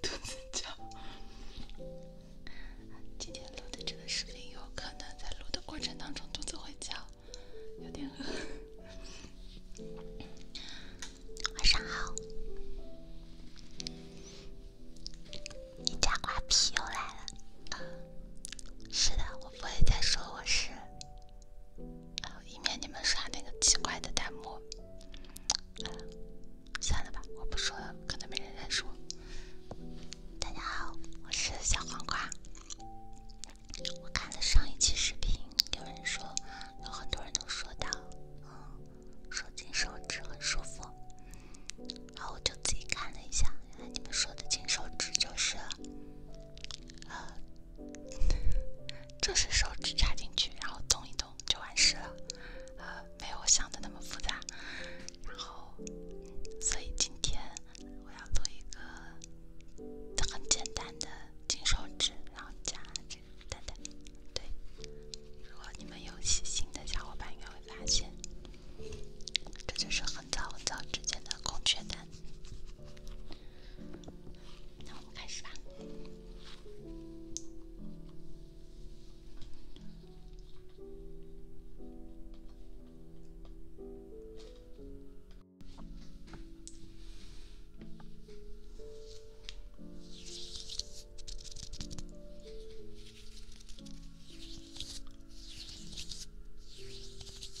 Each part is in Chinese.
肚子叫。今天录的这个视频有可能在录的过程当中肚子会叫，有点饿。晚上好，你家瓜皮又来了。是的，我不会再说我是。以免你们刷那个奇怪的弹幕，算了吧，我不说了，可能没人识我。大家好，我是小黄瓜。我看了上一期视频，有人说有很多人都说到，嗯，说金手指很舒服，然后我就自己看了一下，原来你们说的金手指就是，呃，这 是手指插进去，然后动一动就完事了，呃，没有我想的那么复杂。然后，所以今天我要做一个很简单的金手指，然后加蛋蛋。对，如果你们有细心的小伙伴，应该会发现，这就是很早很早之前的孔雀蛋。那我们开始吧。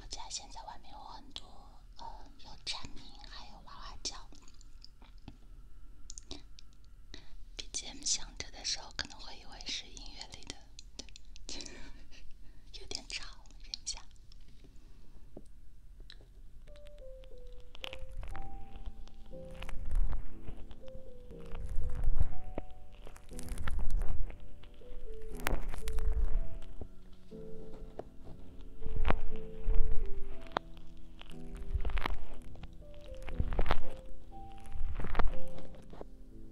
我家现在外面有很多，呃，有蝉鸣，还有娃娃叫。BGM 响着的时候，可能会以为是音乐里的。对，有点吵，忍一下。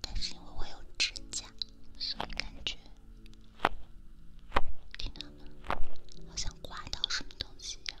但是因为我有指甲，所以感觉听到吗？好像刮到什么东西一样。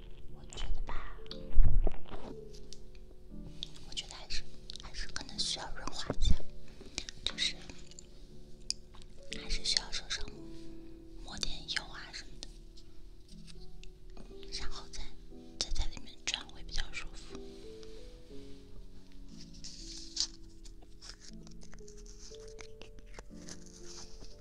我觉得吧，我觉得还是还是可能需要润滑一下，就是还是需要手上抹点油啊什么的，然后再再在里面转会比较舒服。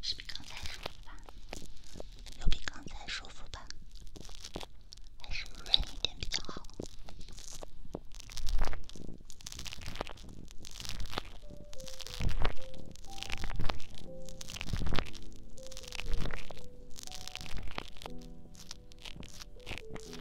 是比刚才舒服吧？又比刚才舒服吧？还是润一点比较好。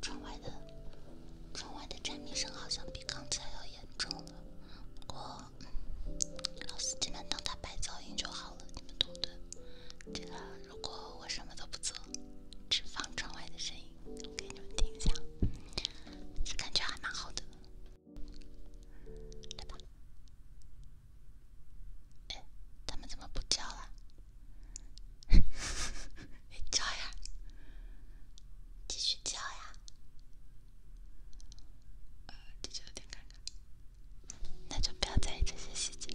窗外的，窗外的蝉鸣声好像比刚才要严重了。不过，老司机们当它白噪音就好了，你们懂的。对个，如果我什么都不做，只放窗外的声音。给你们听一下，这感觉还蛮好的。来吧，哎，他们怎么不叫了？叫呀，继续叫呀。呃，这就有点尴尬，那就不要在意这些细节。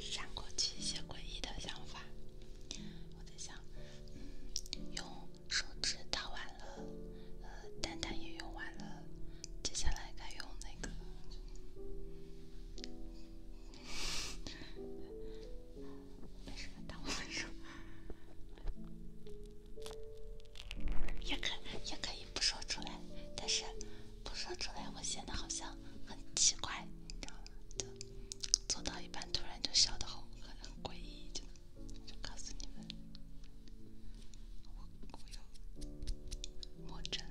闪过去一些诡异的想法。我在想，嗯，用手指打完了，呃，蛋蛋也用完了，接下来该用那个。没事，耽误没事。也可也可以不说出来，但是不说出来我显得好像很奇怪，你知道吗？做到一半，突然就笑得好可，很诡异，真我就告诉你们，我鬼了，我真。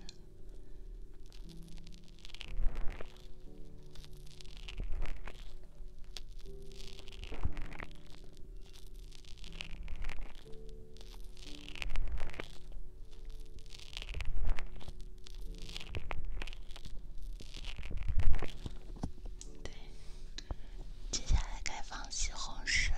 对，接下来该放西红柿了。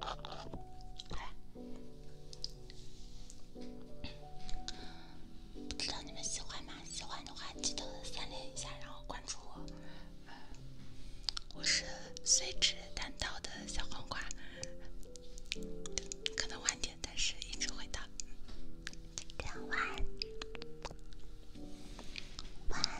好啦，不知道你们喜欢吗？喜欢的话记得三连一下，然后关注我。我是随指弹刀的小黄瓜，可能晚点，但是一直会到。今天晚安，晚安。